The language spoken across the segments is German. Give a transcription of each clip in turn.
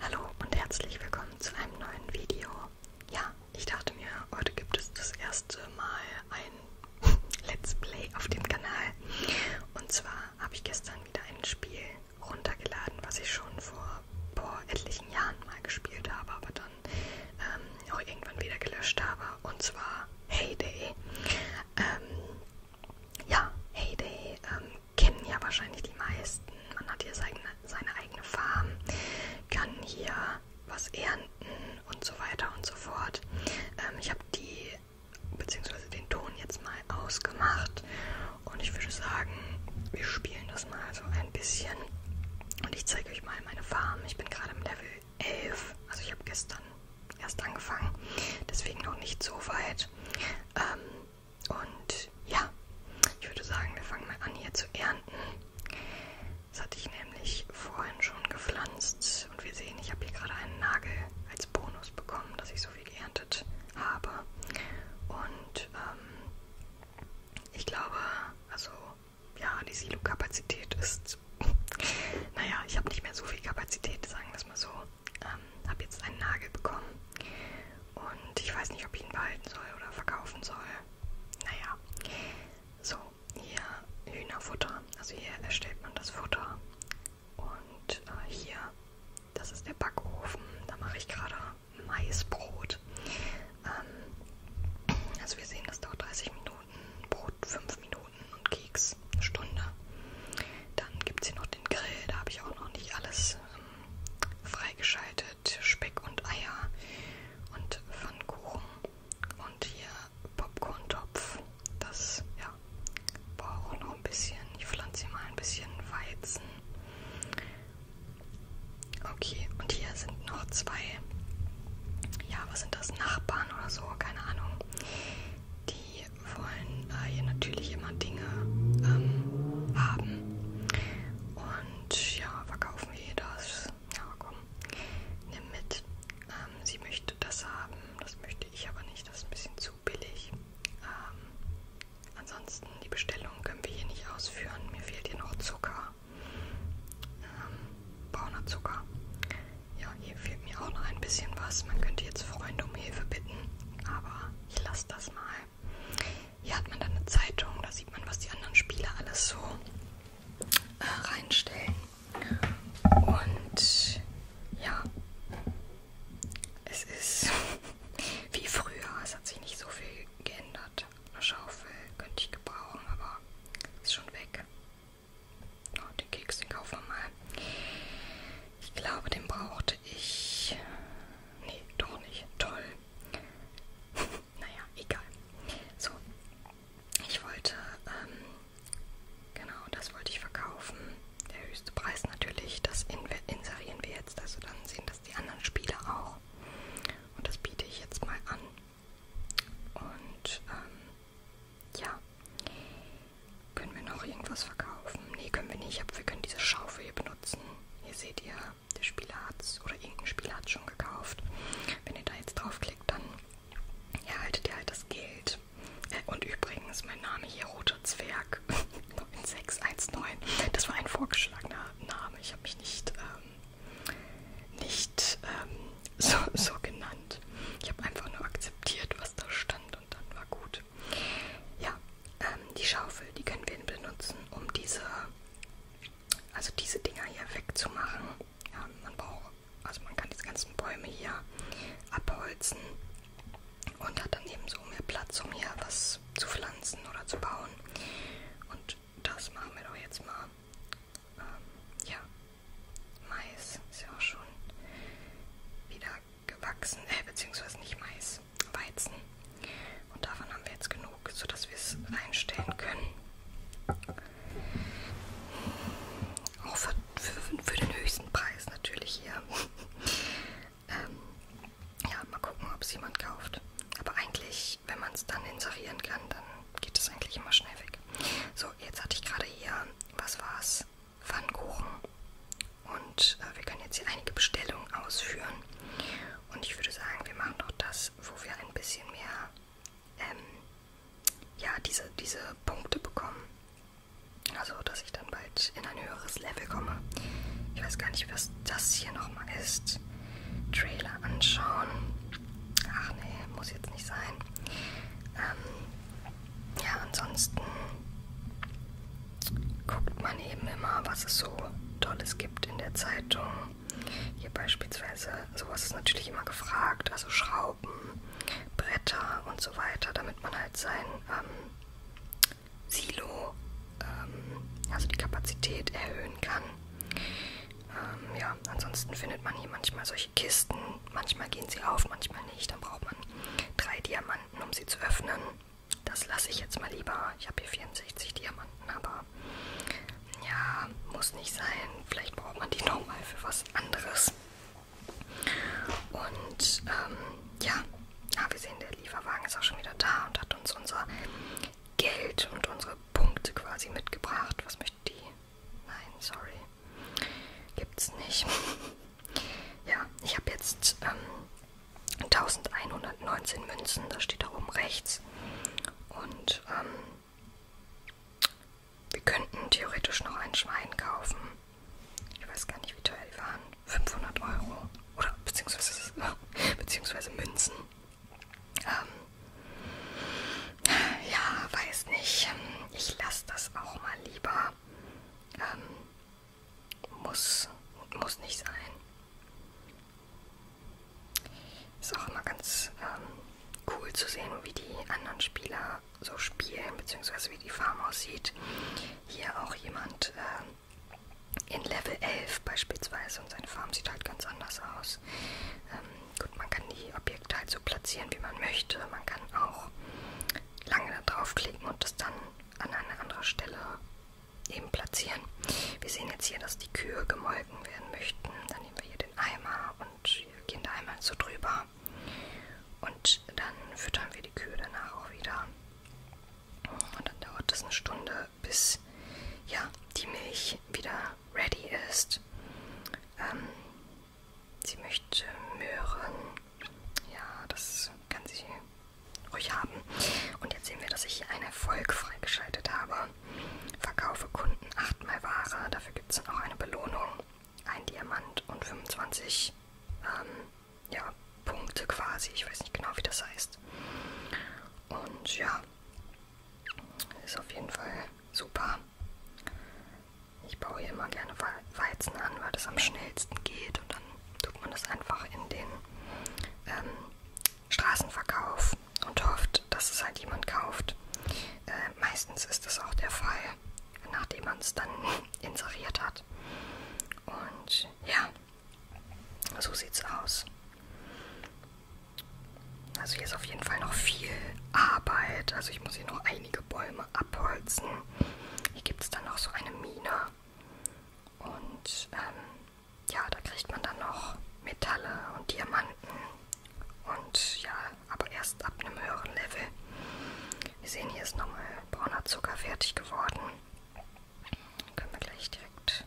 Hallo und herzlich willkommen zu einem neuen Video. Ja, ich dachte mir, heute gibt es das erste Mal ein Let's Play auf dem Kanal. Und zwar habe ich gestern wieder ein Spiel runtergeladen, was ich schon vor, vor etlichen Jahren mal gespielt habe, aber dann ähm, auch irgendwann wieder gelöscht habe. Und zwar Heyday. Ähm, ja, Heyday ähm, kennen ja wahrscheinlich die meisten. Man hat hier seine, seine eigene Farm, kann hier was ernten und so weiter und so fort. Ähm, ich habe die beziehungsweise den Ton jetzt mal ausgemacht und ich würde sagen, wir spielen das mal so ein bisschen und ich zeige euch mal meine Farm. Ich bin gerade im Level 11, also ich habe gestern erst angefangen, deswegen noch nicht so weit. Ähm, und ja, ich würde sagen, wir fangen mal an hier zu ernten. Das hatte ich nämlich vorhin schon gepflanzt und wir sehen, ich habe hier gerade einen Nagel als Bonus bekommen, dass ich so viel geerntet habe. Und ähm, ich glaube, also ja, die Silo-Kapazität ist, naja, ich habe nicht mehr so viel Kapazität, sagen wir es mal so. Ähm, habe jetzt einen Nagel bekommen und ich weiß nicht, ob ich ihn behalten soll oder verkaufen soll. Naja, so, hier Hühnerfutter. Also hier erstellt man das Futter. Und äh, hier, das ist der Backofen. Da mache ich gerade Maisbrot. Ähm, also wir sehen, das dauert 30 Minuten, Brot 5 Minuten und Keks eine Stunde. Dann gibt es hier noch den Grill. Da habe ich auch noch nicht alles ähm, freigeschaltet, Speck und Eier und Pfannkuchen und hier Popcorn-Topf. Das, ja, brauche noch ein bisschen. Ich pflanze hier mal ein bisschen Weizen. Okay, und hier sind noch zwei, ja, was sind das, Nachbarn oder so, keine Ahnung. Die wollen äh, hier natürlich immer Dinge ähm, haben. Und ja, verkaufen wir ihr das. Ja, komm, nimm mit. Ähm, sie möchte das haben, das möchte ich aber nicht, das ist ein bisschen zu billig. Ähm, ansonsten, die Bestellung können wir hier nicht ausführen. Mir fehlt hier noch Zucker. Ähm, brauner Zucker. Ja, hier fehlt mir auch noch ein bisschen was. Man könnte jetzt Freunde um Hilfe bitten, aber ich lasse das mal. Hier hat man dann eine Zeitung, da sieht man, was die anderen Spieler alles so äh, reinstellen. Und ja, es ist wie früher, es hat sich nicht so viel geändert. Eine Schaufel könnte ich gebrauchen, aber ist schon weg. Oh, den Keks, den kaufen wir mal. Ich glaube, den brauchte ich. Nee, doch nicht. Toll. naja, egal. So. Ich wollte, ähm, genau, das wollte ich verkaufen. Der höchste Preis natürlich, das inserieren wir jetzt. Also dann sehen das die anderen Spieler auch. Und das biete ich jetzt mal an. Und, ähm, ja. Können wir noch irgendwas verkaufen? Nee, können wir nicht, aber wir können diese Schaufel hier benutzen. Hier seht ihr, der Spieler hat's oder irgendein Spieler hat's schon gekauft. Wenn ihr da jetzt draufklickt, dann erhaltet ihr halt das Geld. Äh, und übrigens, mein Name hier, Roter Zwerg 9619. Das war ein vorgeschlagener Name. Ich habe mich nicht, ähm, nicht ähm, so, so genannt. Ich habe einfach nur akzeptiert, was da stand und dann war gut. Ja, ähm, die Schaufel, die können wir benutzen, um diese, also diese Dinger hier wegzumachen. Ja, man braucht, also man kann diese ganzen Bäume hier abholzen und hat dann eben so mehr Platz, um hier was zu pflanzen oder zu bauen. Und das machen wir doch jetzt mal. Ähm, ja, Mais ist ja auch schon wieder gewachsen, äh, beziehungsweise nicht Mais, Weizen. Und davon haben wir jetzt genug, sodass wir es reinstellen können. Auch für, für, für den höchsten Preis natürlich hier. ähm, ja, mal gucken, ob es jemand kauft. Aber eigentlich, wenn man es dann inserieren kann, dann geht es eigentlich immer schnell weg. So, jetzt hatte ich gerade hier, was war's? Pfannkuchen. Und äh, wir können jetzt hier einige Bestellungen ausführen. Und ich würde sagen, wir machen doch das, wo wir ein bisschen mehr ähm, ja, diese, diese Punkte bekommen. Also, dass ich dann bald in ein höheres Level komme. Ich weiß gar nicht, was das hier nochmal ist. Trailer anschauen. Ach nee, muss jetzt nicht sein. Ähm, ja, ansonsten guckt man eben immer, was es so Tolles gibt in der Zeitung. Hier beispielsweise, sowas ist natürlich immer gefragt, also Schrauben, Bretter und so weiter, damit man halt sein ähm, Silo, ähm, also die Kapazität erhöhen kann. Ähm, ja, ansonsten findet man hier manchmal solche Kisten, manchmal gehen sie auf, manchmal nicht, dann braucht man drei Diamanten Diamanten, um sie zu öffnen. Das lasse ich jetzt mal lieber. Ich habe hier 64 Diamanten, aber ja, muss nicht sein. Vielleicht braucht man die nochmal für was anderes. Und ähm, ja, ah, wir sehen, der Lieferwagen ist auch schon wieder da und hat uns unser Geld und unsere Punkte quasi mitgebracht. Was möchte die? Nein, sorry. Gibt's nicht. ja, ich habe jetzt ähm, 1119 Münzen, das steht da oben rechts. Und ähm, wir könnten theoretisch noch ein Schwein kaufen. Ich weiß gar nicht, wie teuer die waren. 500 Euro. Oder beziehungsweise, beziehungsweise Münzen. Ähm, ja, weiß nicht. Ich lasse das auch mal lieber. Ähm, muss und muss nicht sein. Ist auch immer ganz ähm, cool zu sehen, wie die anderen Spieler so spielen, beziehungsweise wie die Farm aussieht. Hier auch jemand äh, in Level 11 beispielsweise und seine Farm sieht halt ganz anders aus. Ähm, gut, man kann die Objekte halt so platzieren, wie man möchte. Man kann auch lange da draufklicken und das dann an eine andere Stelle eben platzieren. Wir sehen jetzt hier, dass die Kühe gemolken werden möchten. Dann nehmen wir hier den Eimer und hier gehen da einmal so drüber. Und dann füttern wir die Kühe danach auch wieder. Und dann dauert das eine Stunde, bis ja, die Milch wieder ready ist. Ähm, Sie möchte Möhren. Ja, das kann sie ruhig haben. Und jetzt sehen wir, dass ich hier einen Erfolg freigeschaltet habe. Verkaufe Kunden achtmal Ware. Dafür gibt es dann auch eine Belohnung. Ein Diamant und 25 ähm, ja, Punkte quasi. Ich weiß nicht genau, wie das heißt. Und ja, ist auf jeden Fall super. Ich baue hier immer gerne Weizen an, weil das am schnellsten geht und dann tut man das einfach in den ähm, Straßenverkauf und hofft, dass es halt jemand kauft. Äh, meistens ist das auch der Fall, nachdem man es dann inseriert hat. Und ja, so sieht's aus. Also hier ist auf jeden Fall noch viel Arbeit. Also ich muss hier noch einige Bäume abholzen. Hier gibt es dann noch so eine Mine. Und ähm, ja, da kriegt man dann noch Metalle und Diamanten. Und ja, aber erst ab einem höheren Level. Wir sehen, hier ist nochmal brauner Zucker fertig geworden. Dann können wir gleich direkt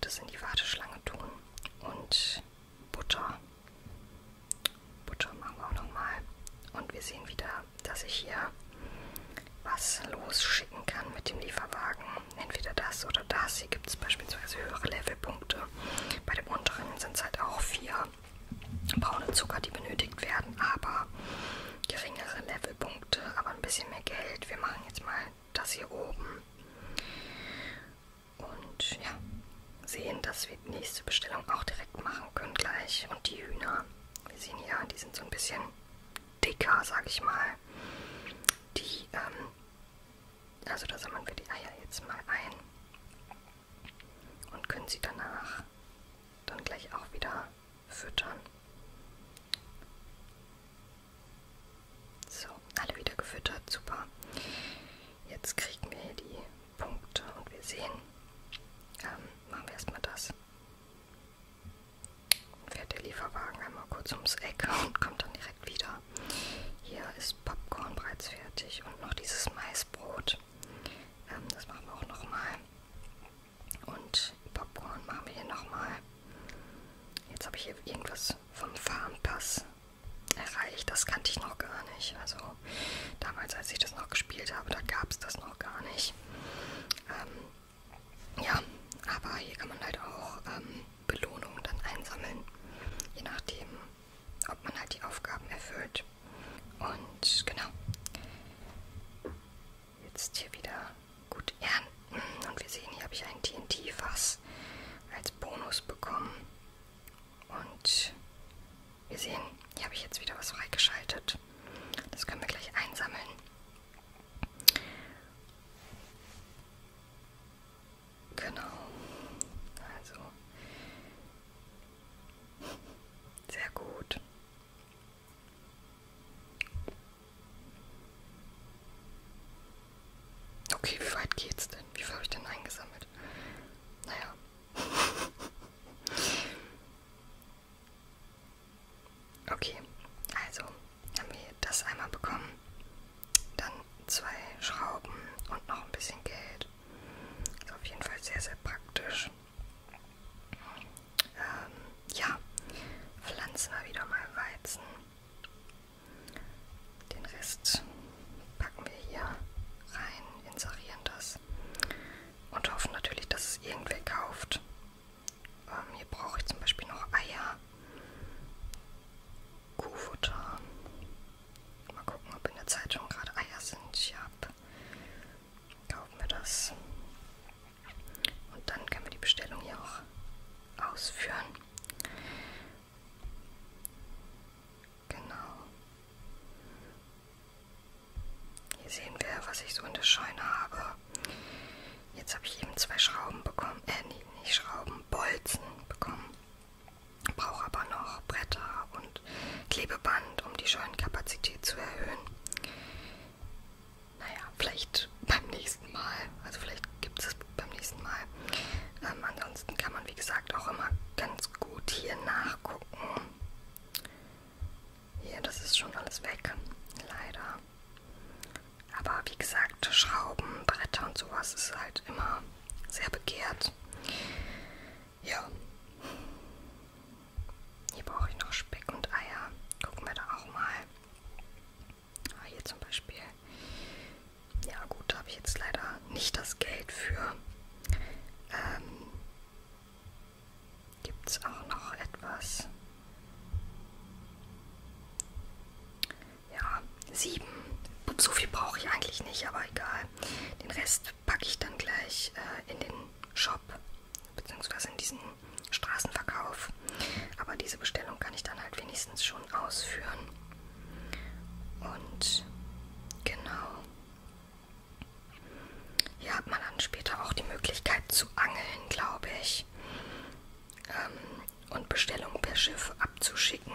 das in die Warteschlange tun. Und Butter. Butter machen wir auch nochmal. Und wir sehen wieder, dass ich hier was losschicken kann mit dem Lieferwagen. Entweder das oder das. Hier gibt es beispielsweise höhere Levelpunkte. Bei dem unteren sind es halt auch vier braune Zucker, die benötigt werden, aber geringere Levelpunkte, aber ein bisschen mehr Geld. Wir machen jetzt mal das hier oben. Und ja, sehen, dass wir die nächste Bestellung auch direkt machen können gleich. Und die Hühner, wir sehen hier, die sind so ein bisschen dicker, sag ich mal. Die, ähm, also da sammeln wir die Eier jetzt mal ein und können sie danach dann gleich auch wieder füttern. So, alle wieder gefüttert, super. Jetzt kriegen wir hier die Punkte und wir sehen, ähm, machen wir erstmal das. Fährt der Lieferwagen einmal kurz ums Eck und kommt dann direkt wieder. Hier ist Popcorn bereits fertig und noch dieses Maisbrot. Ähm, das machen wir auch nochmal. Und Popcorn machen wir hier nochmal. Jetzt habe ich hier irgendwas vom Farmpass erreicht. Das kannte ich noch gar nicht. Also damals, als ich das noch gespielt habe, da gab es das noch gar nicht. Ähm, ja, aber hier kann man halt auch ähm, Belohnungen dann einsammeln, je nachdem, ob man halt die Aufgaben erfüllt. Und genau, jetzt hier wieder gut ernten. Und wir sehen, hier habe ich ein TNT-Fass als Bonus bekommen. Und wir sehen, hier habe ich jetzt wieder was freigeschaltet. Das können wir gleich einsammeln. Genau. Also. Sehr gut. Okay, wie weit geht's denn? Wie viel habe ich denn eingesammelt? Naja, Okay, also haben wir das einmal bekommen. Dann zwei Schrauben und noch ein bisschen Geld. Ist auf jeden Fall sehr, sehr praktisch. Ähm, ja, pflanzen wir wieder mal Weizen. Den Rest packen wir hier rein, inserieren das und hoffen natürlich, dass es irgendwer kauft. Ähm, hier brauche ich zum Beispiel noch Eier, Kuhfutter. Mal gucken, ob in der Zeitung gerade Eier sind. Ja, kaufen wir das. Und dann können wir die Bestellung hier auch ausführen. Genau. Hier sehen wir, was ich so in der Scheune habe. Jetzt habe ich eben zwei Schrauben bekommen. Äh, nee, nicht Schrauben, Bolzen bekommen. Brauche aber noch Bretter und Klebeband, um die Scheunenkapazität zu erhöhen. Naja, vielleicht beim nächsten Mal. Also vielleicht gibt es beim nächsten Mal. Ähm, ansonsten kann man, wie gesagt, auch immer ganz gut hier nachgucken. Hier, das ist schon alles weg, leider. Aber wie gesagt, Schrauben, Bretter und sowas ist halt immer sehr begehrt. Ja. Hier brauche ich noch Speck und Eier. Gucken wir da auch mal. Ah, hier zum Beispiel ja gut, da habe ich jetzt leider nicht das Geld für. Ähm, Gibt es auch noch etwas? Ja, sieben. So viel brauche ich eigentlich nicht, aber egal. Den Rest packe ich dann gleich äh, in den Shop, beziehungsweise in diesen Straßenverkauf. Aber diese Bestellung kann ich dann halt wenigstens schon ausführen. Und genau. Hier hat man dann später auch die Möglichkeit zu angeln, glaube ich. Ähm, und Bestellungen per Schiff abzuschicken.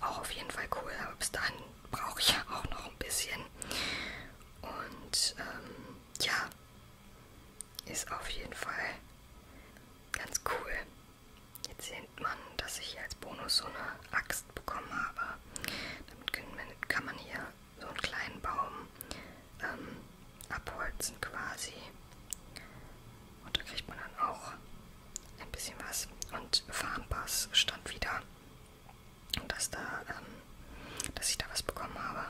Auch auf jeden Fall cool, aber bis dahin brauche ich ja auch noch ein bisschen. Und ähm, ja, ist auf jeden Fall ganz cool. Jetzt sieht man, dass ich hier als Bonus so eine Axt bekommen habe. Damit man, kann man hier so einen kleinen Baum ähm, abholzen quasi. Und da kriegt man dann auch ein bisschen was. Und Farmpass stand wieder. Und dass da, ähm, dass ich da was bekommen habe.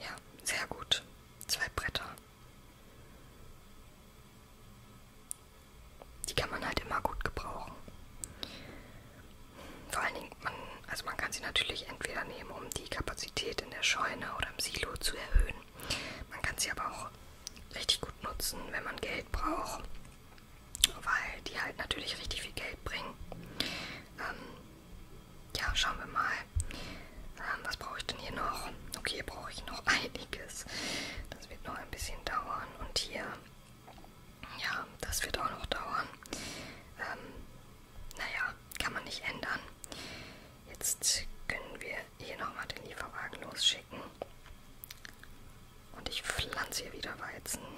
Ja, sehr gut. Zwei Bretter. Die kann man halt immer gut gebrauchen. Vor allen Dingen, man, also man kann sie natürlich entweder nehmen, um die Kapazität in der Scheune oder im Silo zu erhöhen. Man kann sie aber auch richtig gut nutzen, wenn man Geld braucht, weil die halt natürlich richtig viel Geld bringen. Ähm, ja, schauen wir mal, Ah, was brauche ich denn hier noch? Okay, hier brauche ich noch einiges. Das wird noch ein bisschen dauern. Und hier, ja, das wird auch noch dauern. Ähm, naja, kann man nicht ändern. Jetzt können wir hier nochmal den Lieferwagen losschicken. Und ich pflanze hier wieder Weizen.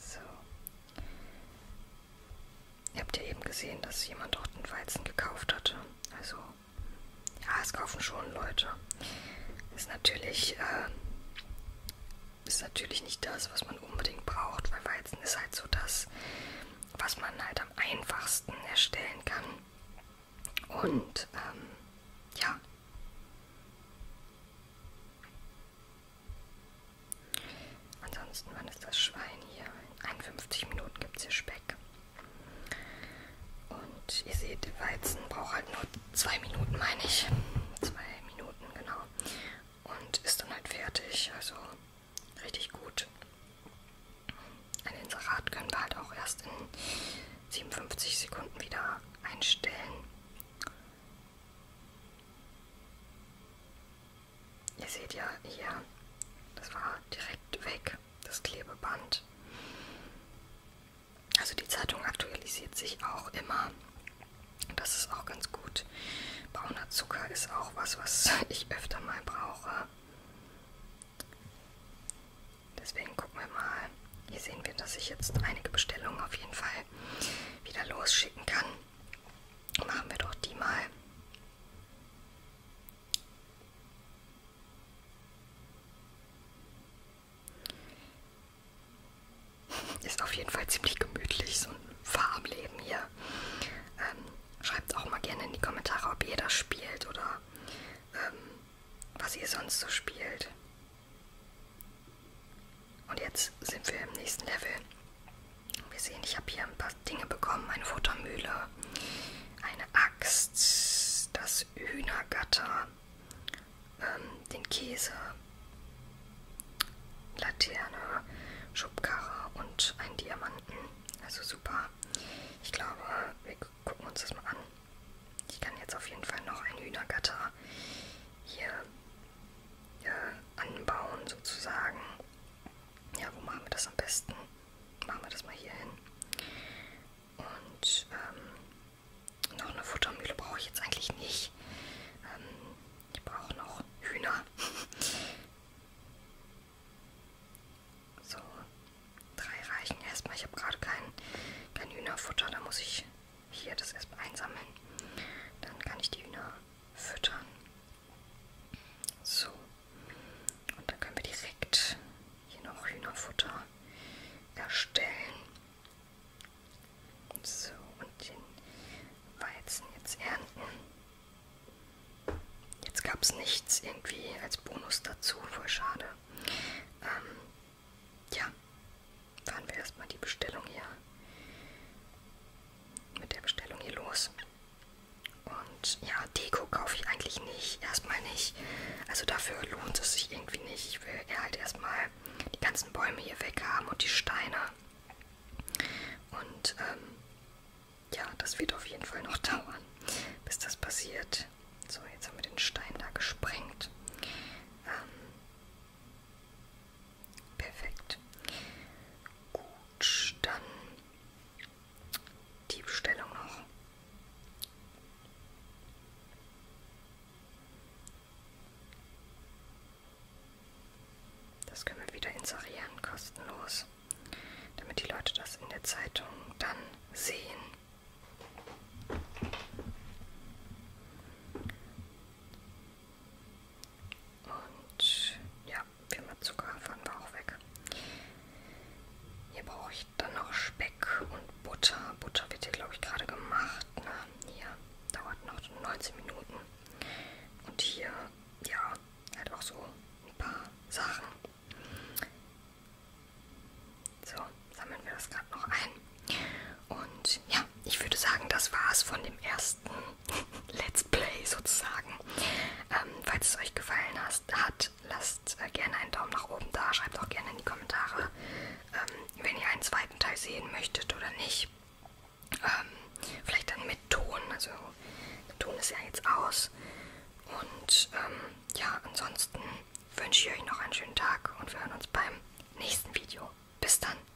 so. Ihr habt ja eben gesehen, dass jemand dort einen Weizen gekauft hatte. Also, ja, es kaufen schon Leute. Ist natürlich, äh, ist natürlich nicht das, was man unbedingt braucht, weil Weizen ist halt so das, was man halt am einfachsten erstellen kann. Und, ähm, ja. Ansonsten, wann ist das Schwein hier? In 51 Minuten gibt es hier Speck. Und ihr seht, der Weizen braucht halt nur zwei Minuten, meine ich. Zwei Minuten, genau. Und ist dann halt fertig. Also richtig gut. Ein Inserat können wir halt auch erst in 57 Sekunden wieder einstellen. Ihr seht ja hier, das war direkt weg, das Klebeband. Also die Zeitung aktualisiert sich auch immer. Das ist auch ganz gut. Brauner Zucker ist auch was, was ich öfter mal brauche. Deswegen gucken wir mal. Hier sehen wir, dass ich jetzt einige Bestellungen auf jeden Fall wieder losschicken kann. Machen wir doch die mal. Ist auf jeden Fall ziemlich gemütlich, so ein Farmleben hier. Ähm, schreibt auch mal gerne in die Kommentare, ob ihr das spielt oder ähm, was ihr sonst so spielt. Und jetzt sind wir im nächsten Level. Wir sehen, ich habe hier ein paar Dinge bekommen. Eine Futtermühle, eine Axt, das Hühnergatter, ähm, den Käse, Laterne, Schubkarre und einen Diamanten. Also super. Ich glaube, wir gucken uns das mal an. Ich kann jetzt auf jeden Fall noch ein Hühnergatter hier äh, anbauen sozusagen ja, wo machen wir das am besten? Machen wir das mal hier hin. Und ähm, noch eine Futtermühle brauche ich jetzt eigentlich nicht. Ähm, ich brauche noch Hühner. so, drei reichen erstmal. Ich habe gerade kein, kein Hühnerfutter. Da muss ich hier das erstmal einsammeln. Dann kann ich die Hühner füttern. So. Und dann können wir direkt hier noch Hühnerfutter erstellen. So, und den Weizen jetzt ernten. Jetzt gab es nichts irgendwie als Bonus dazu, voll schade. Ähm, ja, fahren wir erstmal die Bestellung hier mit der Bestellung hier los. Und ja, Deko kaufe ich eigentlich nicht. Erstmal nicht. Also dafür lohnt es sich irgendwie nicht. Ich will halt erstmal die ganzen Bäume hier weg haben und die Steine. Und ähm, ja, das wird auf jeden Fall noch dauern, bis das passiert. So, jetzt haben wir den Stein da gesprengt. Ähm, Perfekt. Gut, dann die Bestellung noch. Das können wir wieder inserieren, kostenlos, damit die Leute das in der Zeitung dann sehen. Und ja, viermal Zucker fangen wir auch weg. Hier brauche ich dann noch Speck und Butter. Butter wird hier, glaube ich, gerade gemacht. Ne? Hier dauert noch 19 Minuten. Und hier, ja, halt auch so ein paar Sachen. So, sammeln wir das gerade noch ein. Und ja, ich würde sagen, das war's von dem ersten Let's Play sozusagen. Ähm, falls es euch gefallen hat, lasst äh, gerne einen Daumen nach oben da. Schreibt auch gerne in die Kommentare, ähm, wenn ihr einen zweiten Teil sehen möchtet oder nicht. Ähm, vielleicht dann mit Ton. Also Ton ist ja jetzt aus. Und ähm, ja, ansonsten wünsche ich euch noch einen schönen Tag und wir hören uns beim nächsten Video. Bis dann.